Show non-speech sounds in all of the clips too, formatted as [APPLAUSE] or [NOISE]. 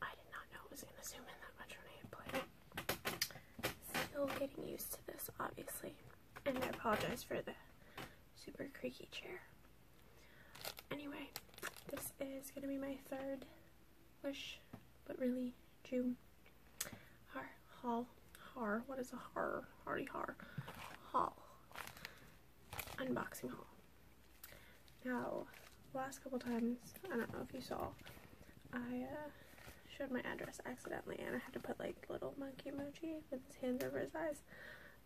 I did not know it was going to zoom in that much when I played Still getting used to this, obviously. And I apologize for the super creaky chair. Anyway, this is going to be my third wish, but really June Hall, haul har. What is a har? Hardy har hall. Unboxing hall. Now, last couple times, I don't know if you saw, I uh, showed my address accidentally and I had to put like little monkey emoji with his hands over his eyes.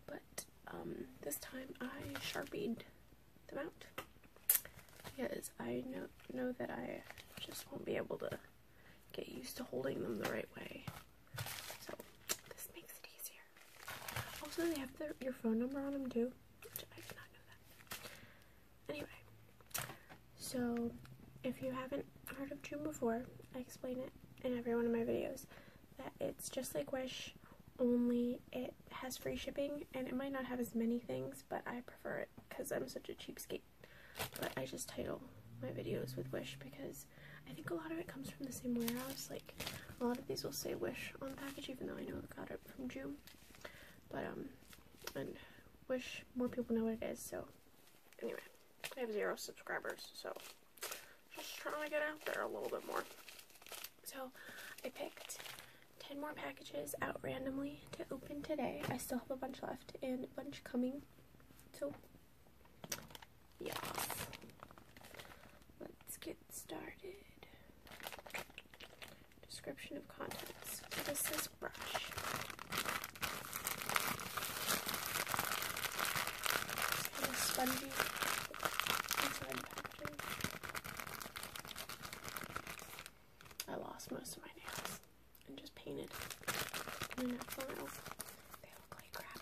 But um, this time I sharpied them out because I know, know that I just won't be able to get used to holding them the right way. So this makes it easier. Also, they have your phone number on them too, Anyway, so if you haven't heard of June before, I explain it in every one of my videos that it's just like Wish, only it has free shipping and it might not have as many things, but I prefer it because I'm such a cheapskate. But I just title my videos with Wish because I think a lot of it comes from the same warehouse, like a lot of these will say Wish on package, even though I know I got it from June. But um, I Wish more people know what it is. So anyway, I have zero subscribers, so just trying to get out there a little bit more. So I picked. 10 more packages out randomly to open today. I still have a bunch left and a bunch coming. So, yeah, Let's get started. Description of contents. This is brush. I lost most of my nails and just painted. I mean, for real, they look like crap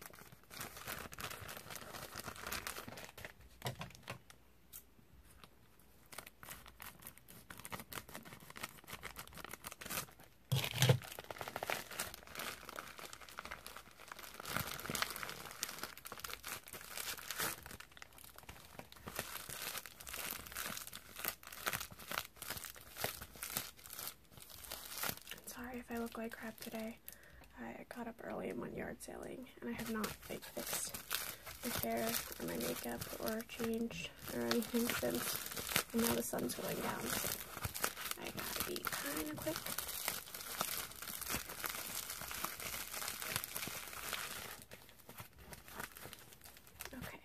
sorry if I look like crap today. I got up early and went yard sailing, and I have not like fixed my hair or my makeup or changed or anything since. And now the sun's going down, so I gotta be kind of quick. Okay.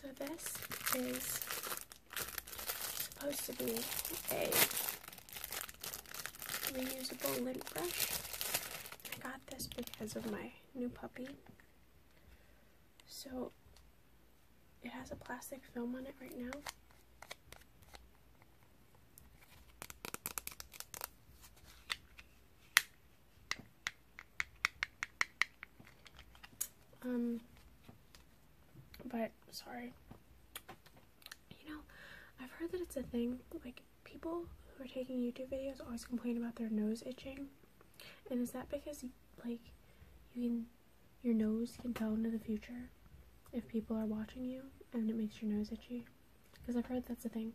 So this is supposed to be a reusable lint brush. I got this because of my new puppy. So it has a plastic film on it right now. Um, but sorry. You know, I've heard that it's a thing. Like, people who are taking YouTube videos always complain about their nose itching. And is that because, like, you can, your nose can tell into the future if people are watching you and it makes your nose itchy? Because I've heard that's a thing.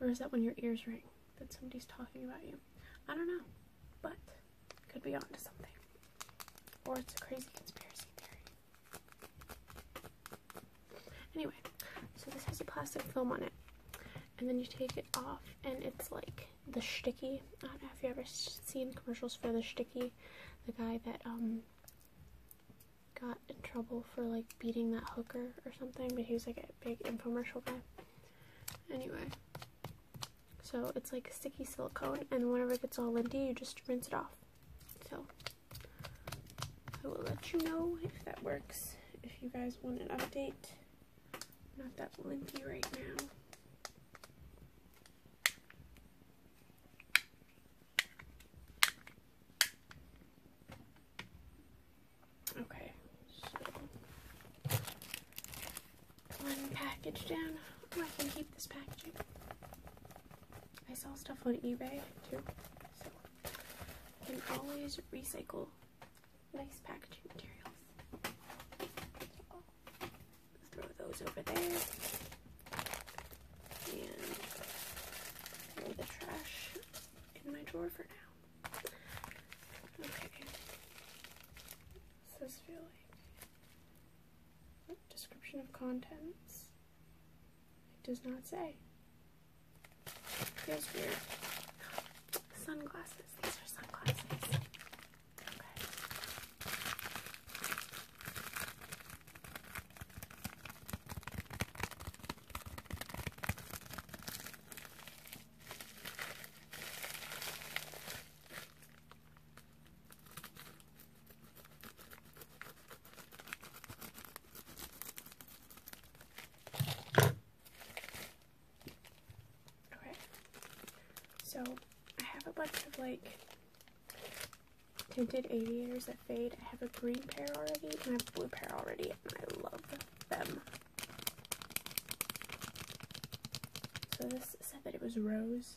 Or is that when your ears ring that somebody's talking about you? I don't know, but could be onto something. Or it's a crazy conspiracy theory. Anyway, so this has a plastic film on it. And then you take it off, and it's like the sticky. I don't know if you've ever seen commercials for the sticky, the guy that um got in trouble for like beating that hooker or something, but he was like a big infomercial guy. Anyway, so it's like a sticky silicone, and whenever it gets all linty, you just rinse it off. So I will let you know if that works, if you guys want an update. Not that linty right now. Okay, so one package down. Oh, I can keep this packaging. I saw stuff on eBay too, so I can always recycle nice packaging materials. throw those over there. And throw the trash in my drawer for now. Okay. Does this description of contents? It does not say. Feels weird. Sunglasses. These are sunglasses. Okay. Okay, so I have a bunch of like tinted aviators that fade. I have a green pair already and I have a blue pair already, and I love them. So this said that it was rose,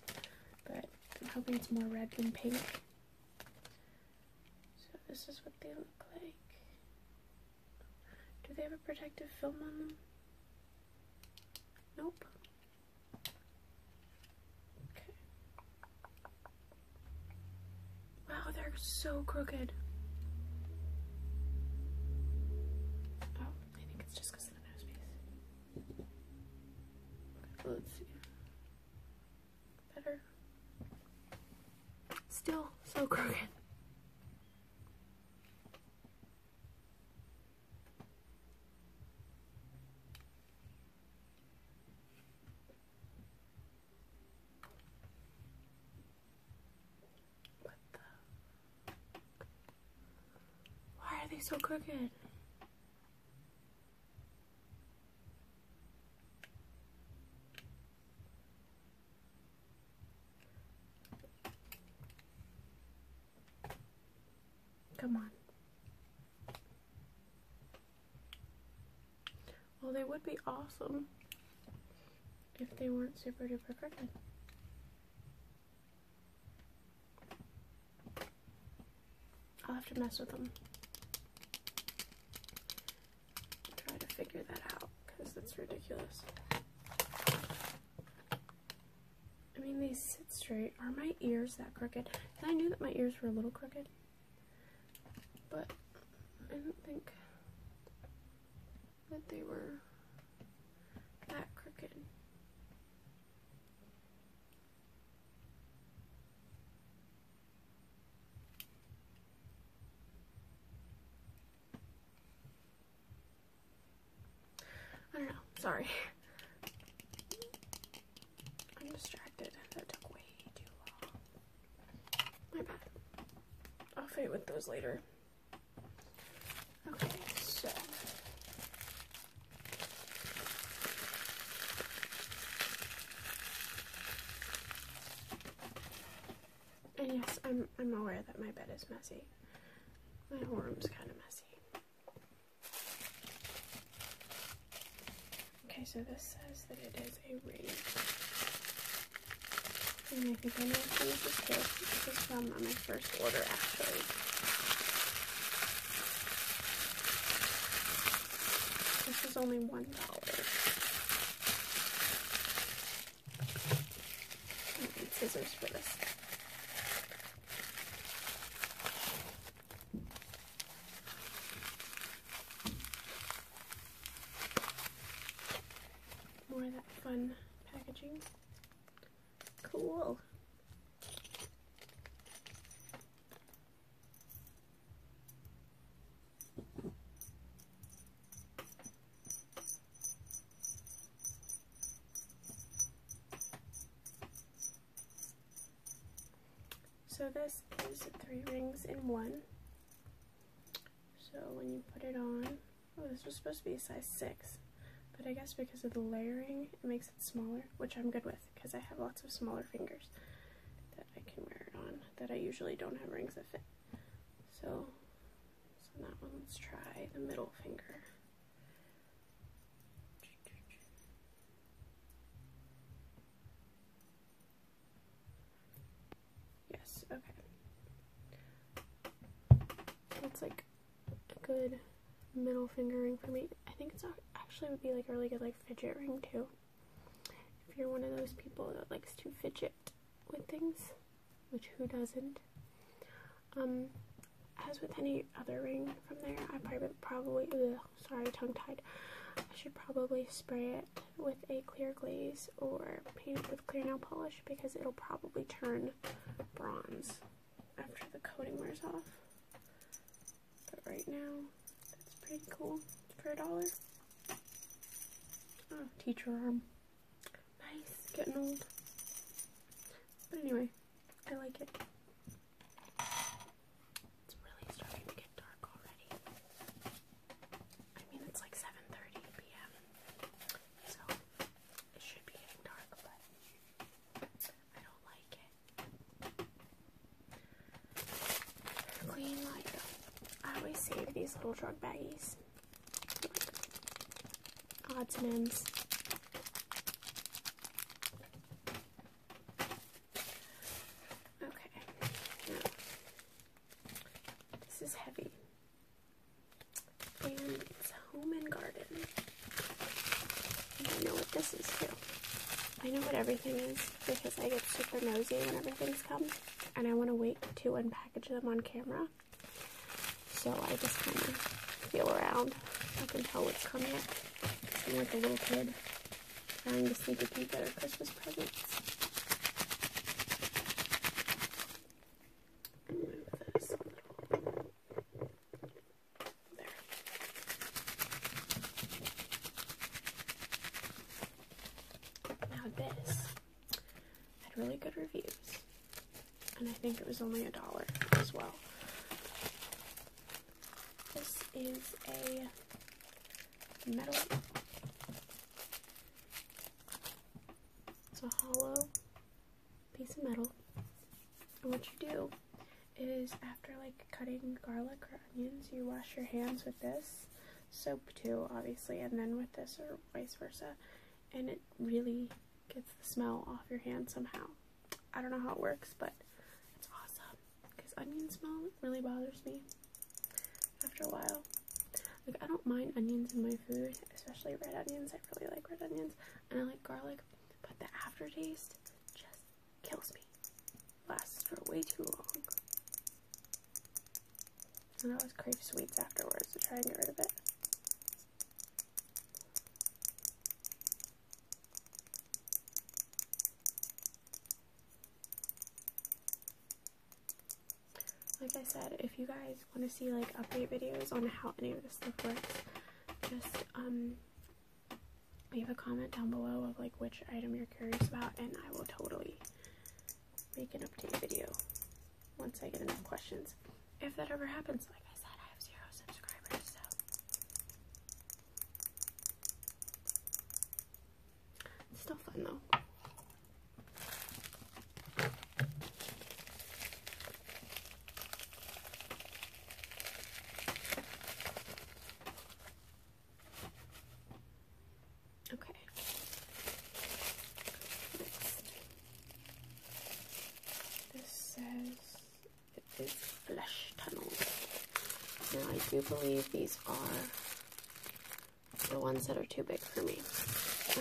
but I'm hoping it's more red than pink. So this is what they look like. Do they have a protective film on them? Nope. Okay. Wow, they're so crooked. Oh, I think it's just because of the nose let's see. Better. Still so crooked. Why are they so crooked? Come on. Well, they would be awesome if they weren't super duper crooked. I'll have to mess with them. Try to figure that out because that's ridiculous. I mean, they sit straight. Are my ears that crooked? I knew that my ears were a little crooked, but I do not think that they were that crooked. I don't know, sorry. [LAUGHS] I'm distracted. That took way too long. My bad. I'll fight with those later. Okay, so. yes, I'm, I'm aware that my bed is messy. My whole room's kind of messy. Okay, so this says that it is. And I think I'm going to use this kit. This is from my first order, actually. This was only $1. I need scissors for this more of that fun packaging. Cool. So this is three rings in one. So when you put it on, oh, this was supposed to be a size 6, but I guess because of the layering, it makes it smaller, which I'm good with because I have lots of smaller fingers that I can wear it on that I usually don't have rings that fit. So, so that one, let's try the middle finger. Yes, okay. That's like a good middle finger ring for me. I think it's actually would be like a really good like fidget ring too. If you're one of those people that likes to fidget with things, which who doesn't? Um, as with any other ring from there, I probably, probably sorry, tongue tied. I should probably spray it with a clear glaze or paint it with clear nail polish because it'll probably turn bronze after the coating wears off. But right now, that's pretty cool for a dollar. Oh, teacher arm. Nice, getting old. But anyway, I like it. It's really starting to get dark already. I mean, it's like 7:30 p.m., so it should be getting dark, but I don't like it. Clean like I always save these little drug bags. Odds and ends. Okay. this is heavy. And it's Home and Garden. And I know what this is too. I know what everything is because I get super nosy when everything's come and I want to wait to unpackage them on camera. So I just kind of feel around. I can tell what's coming. I'm like a little kid trying to sneak a peek at her Christmas presents move Now this had really good reviews, and I think it was only a dollar as well. This is a metal it's a hollow piece of metal. And what you do is after like cutting garlic or onions, you wash your hands with this soap too, obviously, and then with this or vice versa. And it really gets the smell off your hand somehow. I don't know how it works, but it's awesome because onion smell really bothers me after a while. Like, I don't mind onions in my food, especially red onions. I really like red onions and I like garlic, but the aftertaste just kills me. Lasts for way too long. And I always crave sweets afterwards to try and get rid of it like I said, if you guys want to see like update videos on how any of this stuff works, just um leave a comment down below of like which item you're curious about and I will totally make an update video once I get enough questions. If that ever happens, like I said, I have zero subscribers, so it's still fun though. Okay. This says it is flesh tunnels. Now I do believe these are the ones that are too big for me.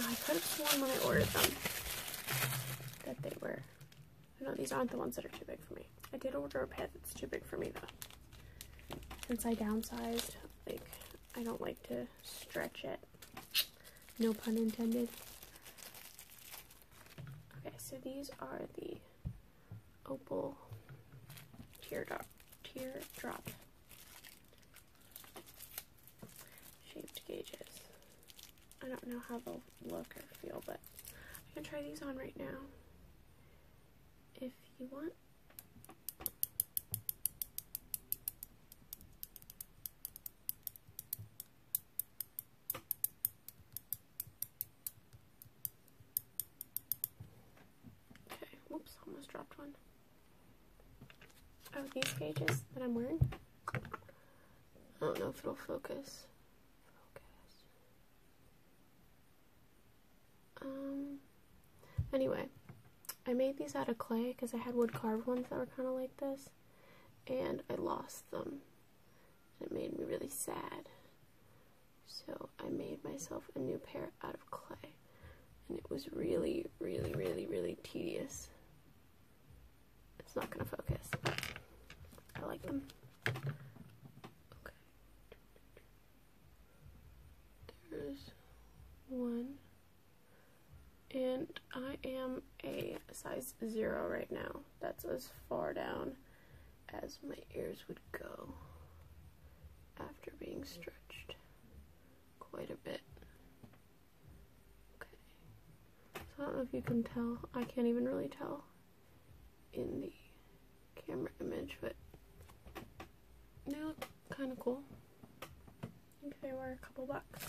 I could have sworn when I ordered them that they were. No, these aren't the ones that are too big for me. I did order a pair that's too big for me though. Since I downsized, like, I don't like to stretch it. No pun intended. Okay, so these are the opal teardrop, teardrop shaped gauges. I don't know how they'll look or feel, but I can try these on right now if you want. Okay, whoops, almost dropped one. Oh, these pages that I'm wearing? I don't know if it'll focus. Um, anyway, I made these out of clay because I had wood carved ones that were kind of like this, and I lost them. It made me really sad. So I made myself a new pair out of clay and it was really, really, really, really tedious. It's not going to focus. I like them. Okay. There's one. And I am a size zero right now. That's as far down as my ears would go after being stretched quite a bit. Okay. So I don't know if you can tell. I can't even really tell in the camera image, but they look kind of cool. I think they were a couple bucks.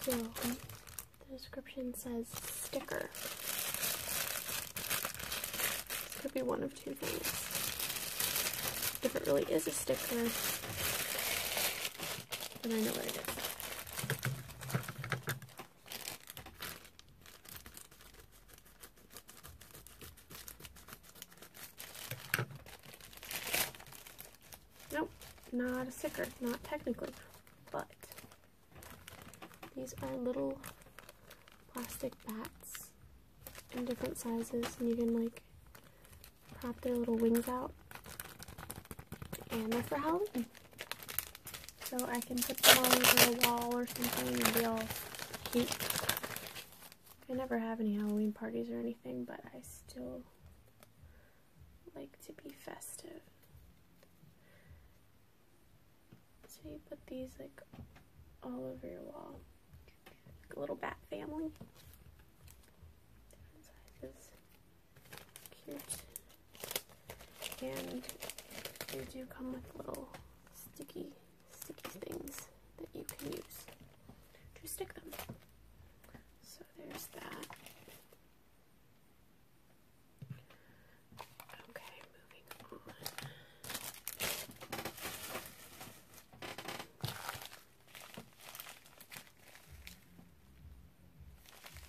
So the description says sticker. This could be one of two things. If it really is a sticker, then I know what it is. Nope, not a sticker, not technically, but these are little plastic bats in different sizes, and you can like prop their little wings out, and they're for Halloween so I can put them all over a wall or something and be all keep. I never have any Halloween parties or anything, but I still like to be festive. So you put these like all over your wall, like a little bat family. Different sizes, cute, and they do come with little sticky, sticky things that you can use to stick them. So there's that. Okay, moving on.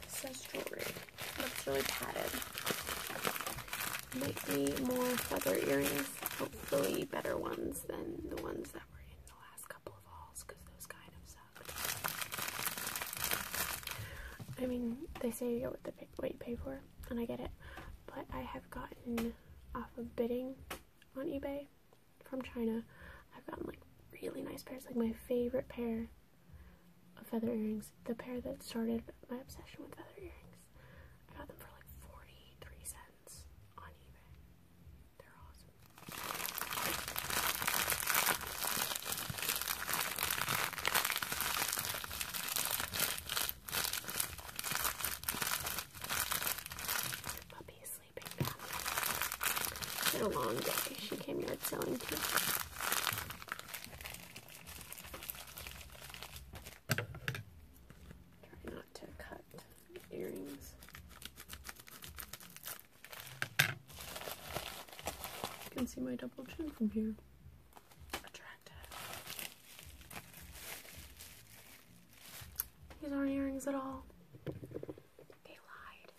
says jewelry. Looks really padded. Might be more feather earrings, hopefully better ones than the ones that were in the last couple of hauls because those kind of sucked. I mean, they say you get what you pay for, and I get it, but I have gotten off of bidding on eBay from China. I've gotten like really nice pairs, like my favorite pair of feather earrings, the pair that started my obsession with feather earrings. I got them for like 43 cents on eBay. They're awesome. Puppy sleeping down. it a long day. She came yard selling too. Try not to cut earrings. You can see my double chin from here. Attractive. These aren't earrings at all. They lied.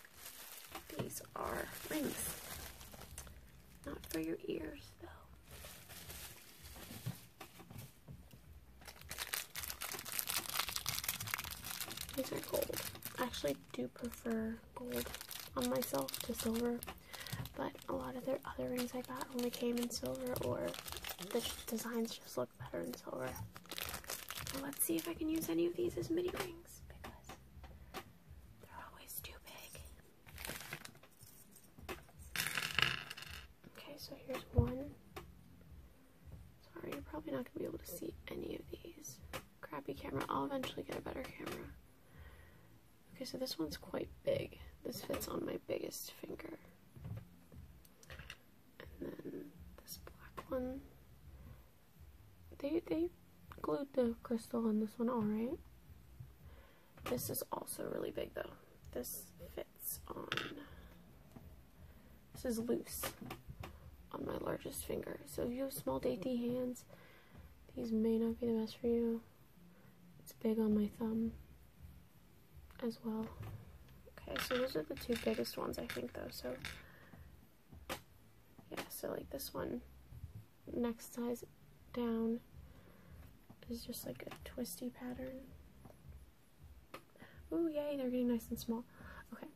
These are rings. Not for your ears, though. These are gold. I actually do prefer gold on myself to silver, but a lot of their other rings I got only came in silver, or the designs just look better in silver. let's see if I can use any of these as mini rings because they're always too big. Okay, so here's one. Sorry, you're probably not going to be able to see any of these. Crappy camera. I'll eventually get a better camera. Okay, so this one's quite big. This fits on my biggest finger. And then this black one. They, they glued the crystal on this one alright. This is also really big though. This fits on, this is loose on my largest finger. So if you have small dainty hands, these may not be the best for you. It's big on my thumb as well. Okay, so those are the two biggest ones I think though. So yeah, so like this one next size down is just like a twisty pattern. Oh yay, they're getting nice and small. Okay,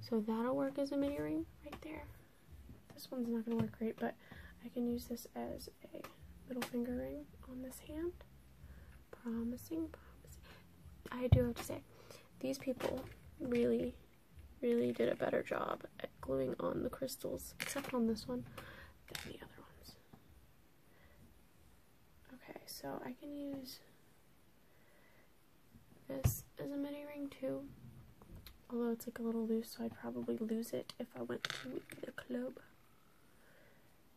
so that'll work as a mini ring right there. This one's not going to work great, but I can use this as a little finger ring on this hand. Promising, promising. I do have to say, these people really, really did a better job at gluing on the crystals, except on this one the other ones. Okay, so I can use this as a mini ring too. Although it's like a little loose, so I'd probably lose it if I went to the club.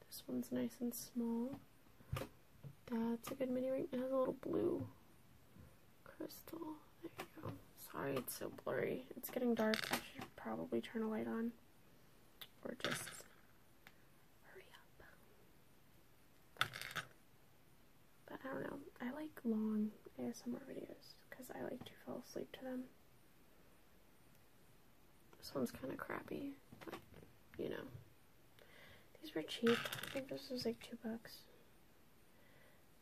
This one's nice and small. That's a good mini ring. It has a little blue crystal. There you go. Sorry, it's so blurry. It's getting dark. I should probably turn a light on. Or just hurry up. But I don't know. I like long ASMR videos because I like to fall asleep to them. This one's kind of crappy, but you know. These were cheap. I think this was like two bucks.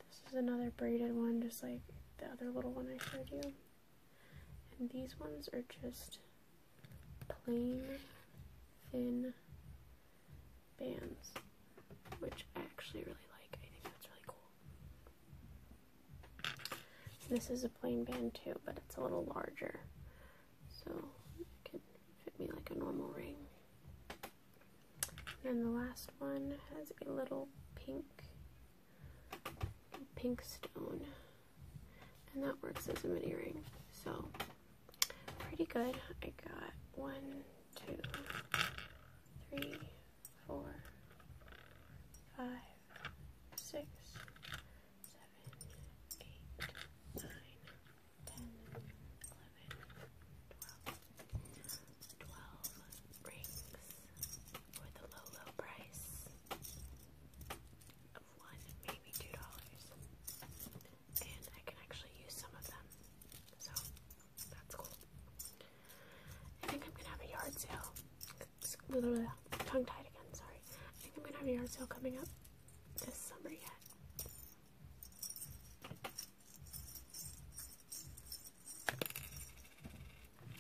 This is another braided one, just like the other little one I showed you. And these ones are just plain thin bands, which I actually really like. I think that's really cool. This is a plain band too, but it's a little larger. So it can fit me like a normal ring. And the last one has a little pink pink stone. And that works as a mini ring. So, pretty good. I got one, two, three, four, five, six, seven, eight, nine, ten, eleven, twelve. 12 rings for the low, low price of one, maybe two dollars. And I can actually use some of them. So that's cool. I think I'm gonna have a yard sale. Little, uh, Tongue tied again, sorry. I think I'm gonna have a yard sale coming up this summer yet.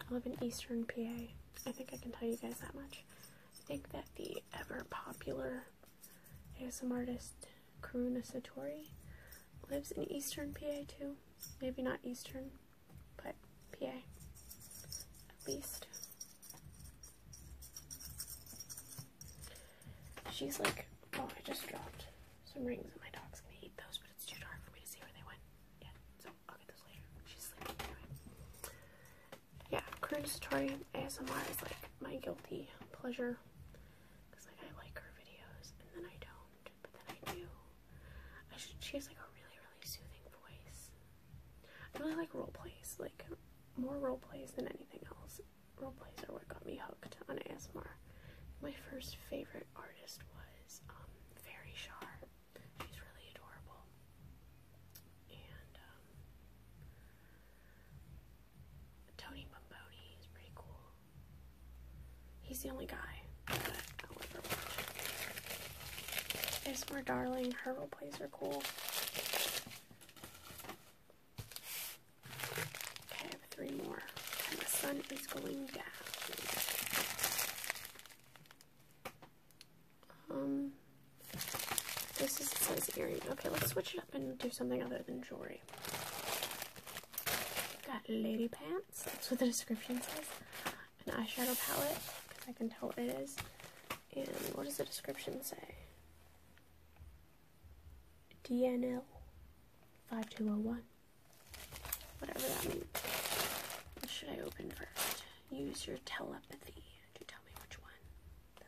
I live in Eastern PA. I think I can tell you guys that much. I think that the ever popular ASMR artist Karuna Satori lives in Eastern PA too. Maybe not Eastern, but PA at least. She's like, oh, I just dropped some rings and my dog's gonna eat those, but it's too dark for me to see where they went. Yeah, so yeah, I'll ASMR is like my guilty pleasure. like I like her videos and then I don't, but then I do. she has like a really, really soothing voice. I really like role plays, like more role plays than anything else. Role plays are what got me hooked on ASMR. My first favorite artist was um, Fairy Shar. He's really adorable. And um, Tony Bomboni is pretty cool. He's the only guy that There's more darling. Her role plays are cool. Okay, I have three more. the sun is going down. Um, this is, says earring. Okay, let's switch it up and do something other than jewelry. Got lady pants. That's what the description says. An eyeshadow palette, because I can tell what it is. And what does the description say? DNL 5201. Whatever that means. should I open first? Use your telepathy to tell me which one that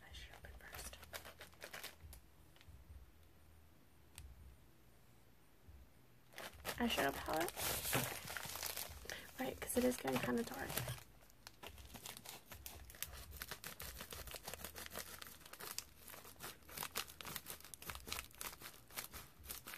I should open first. Eyeshadow palette? Right, because it is getting kind of dark.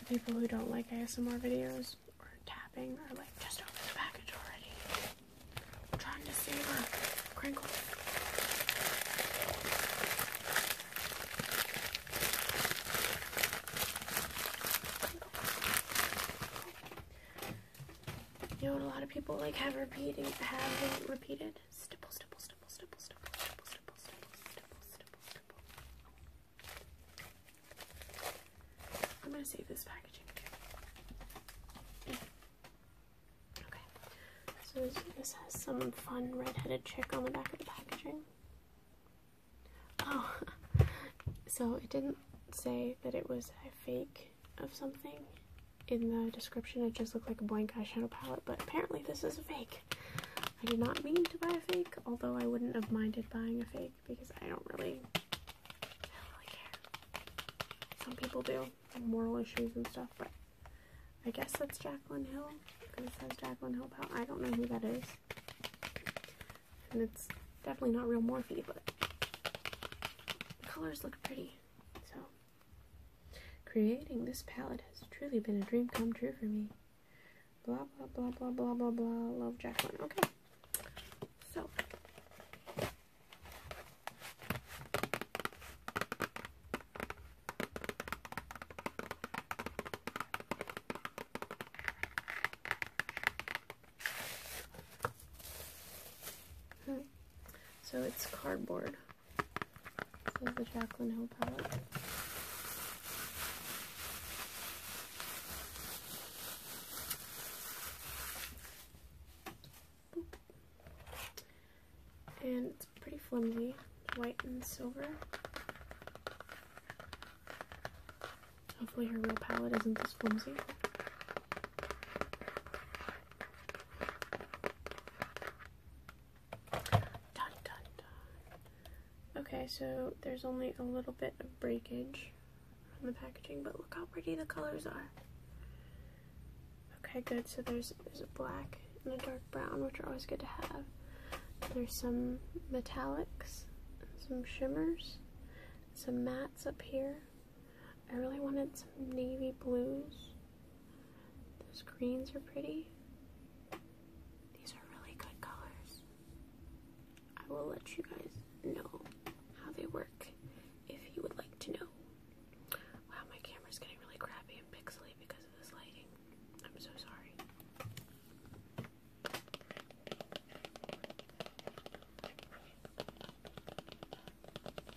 The people who don't like ASMR videos or tapping are like, just open the package already. trying to save her. Crinkle. You know what a lot of people like have repeated, have repeated? Stipple, stipple, I'm gonna save this packaging Okay, so this, has some fun red-headed chick on the back of the packaging. Oh, [LAUGHS] so it didn't say that it was a fake of something in the description it just looked like a blank eyeshadow palette, but apparently this is a fake. I did not mean to buy a fake, although I wouldn't have minded buying a fake because I don't really, care. Some people do, moral issues and stuff, but I guess that's Jaclyn Hill because it says Jaclyn Hill palette. I don't know who that is. And it's definitely not real Morphe, but the colors look pretty, so. Creating this palette has truly been a dream come true for me. Blah blah blah blah blah blah blah. Love Jacqueline. Okay. So hmm. So it's cardboard. This is the Jacqueline Hill palette. And it's pretty flimsy, white and silver. Hopefully her real palette isn't this flimsy. Okay, so there's only a little bit of breakage on the packaging, but look how pretty the colors are. Okay, good. So there's, there's a black and a dark brown, which are always good to have. There's some metallics, some shimmers, some mattes up here. I really wanted some navy blues. Those greens are pretty. These are really good colors. I will let you guys know how they work if you would like to know. Wow, my camera's getting really crappy and pixely because of this lighting. I'm so sorry.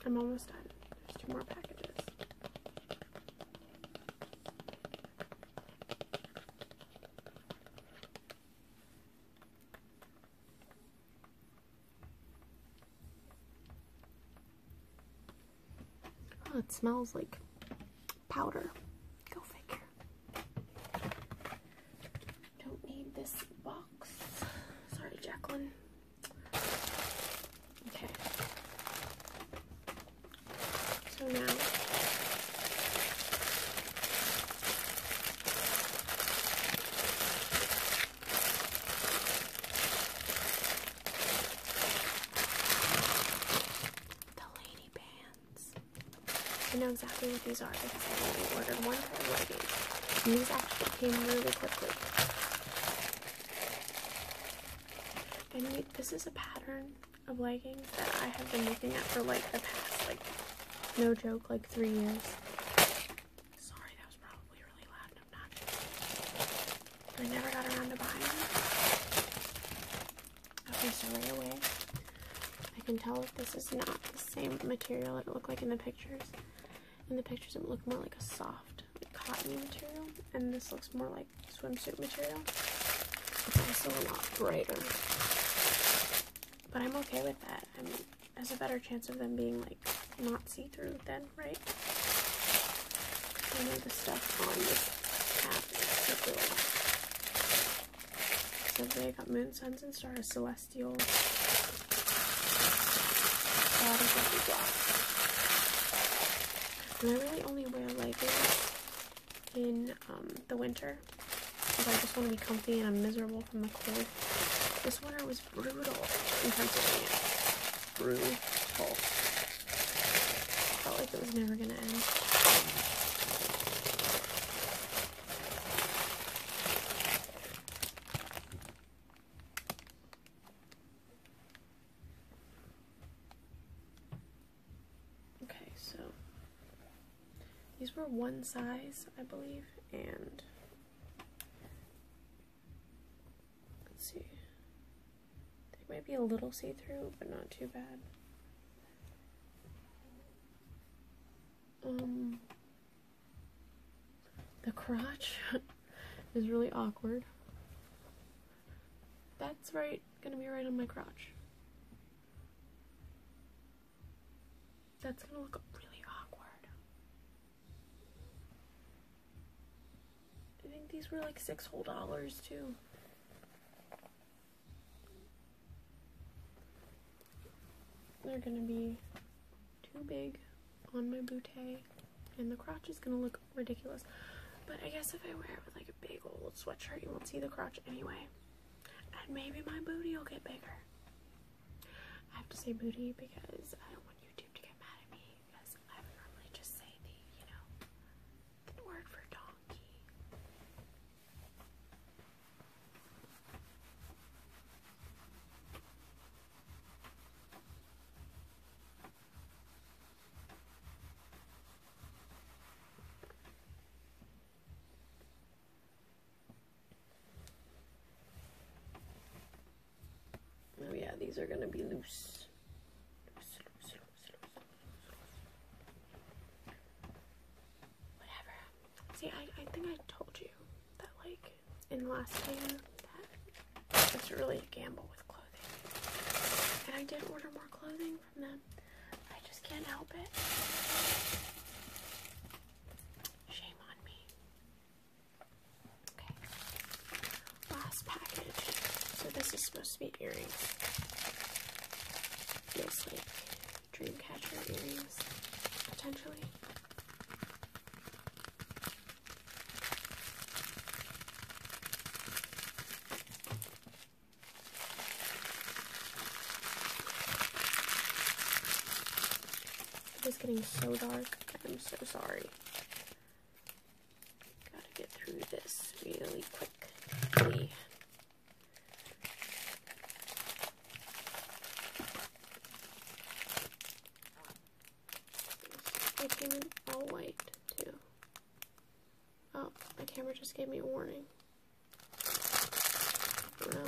I'm almost done. There's two more packages. Oh, it smells like powder. Go figure. Don't need this box. Sorry, Jacqueline. Okay. So now the lady bands. I know exactly what these are because I only ordered one pair of leggings. And these actually came really quickly. And this is a pattern of leggings that I have been looking at for like the past, like, no joke, like three years. Sorry, that was probably really loud I never got around to buying them. Okay, so right away, I can tell that this is not the same material that it looked like in the pictures. In the pictures, it looked more like a soft cottony material, and this looks more like swimsuit material. It's also a lot brighter. But I'm okay with that. I mean, there's a better chance of them being like not see-through then, right? I know the stuff on this cap is super so they got moon, suns, and stars, celestial. God, and I really only wear leggings in um, the winter because I just want to be comfy and I'm miserable from the cold. This winter was brutal in Pennsylvania. Brutal. Felt like it was never going to end. Okay, so these were one size, I believe, and let's see. They might be a little see-through, but not too bad. Um the crotch [LAUGHS] Is really awkward. That's right, gonna be right on my crotch. That's gonna look really awkward. I think these were like six whole dollars too. They're gonna be too big on my bootay, and the crotch is gonna look ridiculous. But I guess if I wear it with like a big old sweatshirt, you won't see the crotch anyway. And maybe my booty will get bigger. I have to say booty because I don't want YouTube to get mad at me because I normally just say the, you know, the word for donkey. Oh yeah, these are going to be loose. See, I, I think I told you that, like, in the last video, it's really a gamble with clothing. And I did order more clothing from them. I just can't help it. Shame on me. Okay. Last package. So this is supposed to be earrings. Feels like dream earrings, potentially. It is getting so dark. I'm so sorry. Gotta get through this really quickly. It came in all white, too. Oh, my camera just gave me a warning. I Oh no.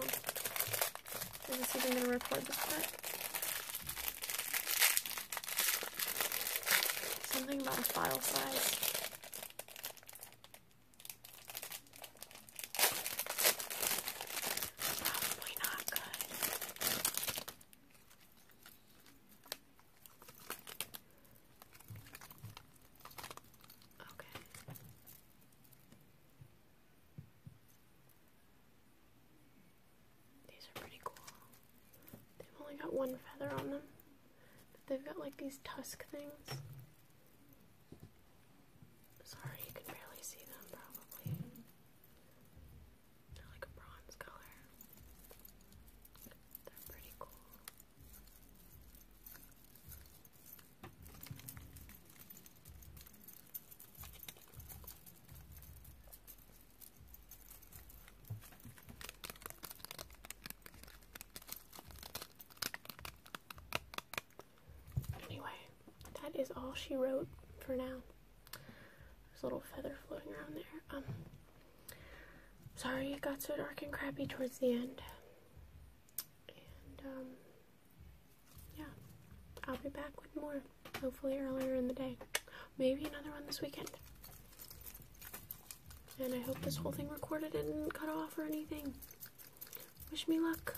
Is this even going to record this part? Something about a file size. Probably not good. Okay. These are pretty cool. They've only got one feather on them. they've got like these tusk things. Sorry, you can barely see them probably like a bronze color. They're pretty cool. Anyway, that is all she wrote for now. There's a little feather floating around there. Um, sorry it got so dark and crappy towards the end. And, um, yeah. I'll be back with more, hopefully earlier in the day. Maybe another one this weekend. And I hope this whole thing recorded and cut off or anything. Wish me luck.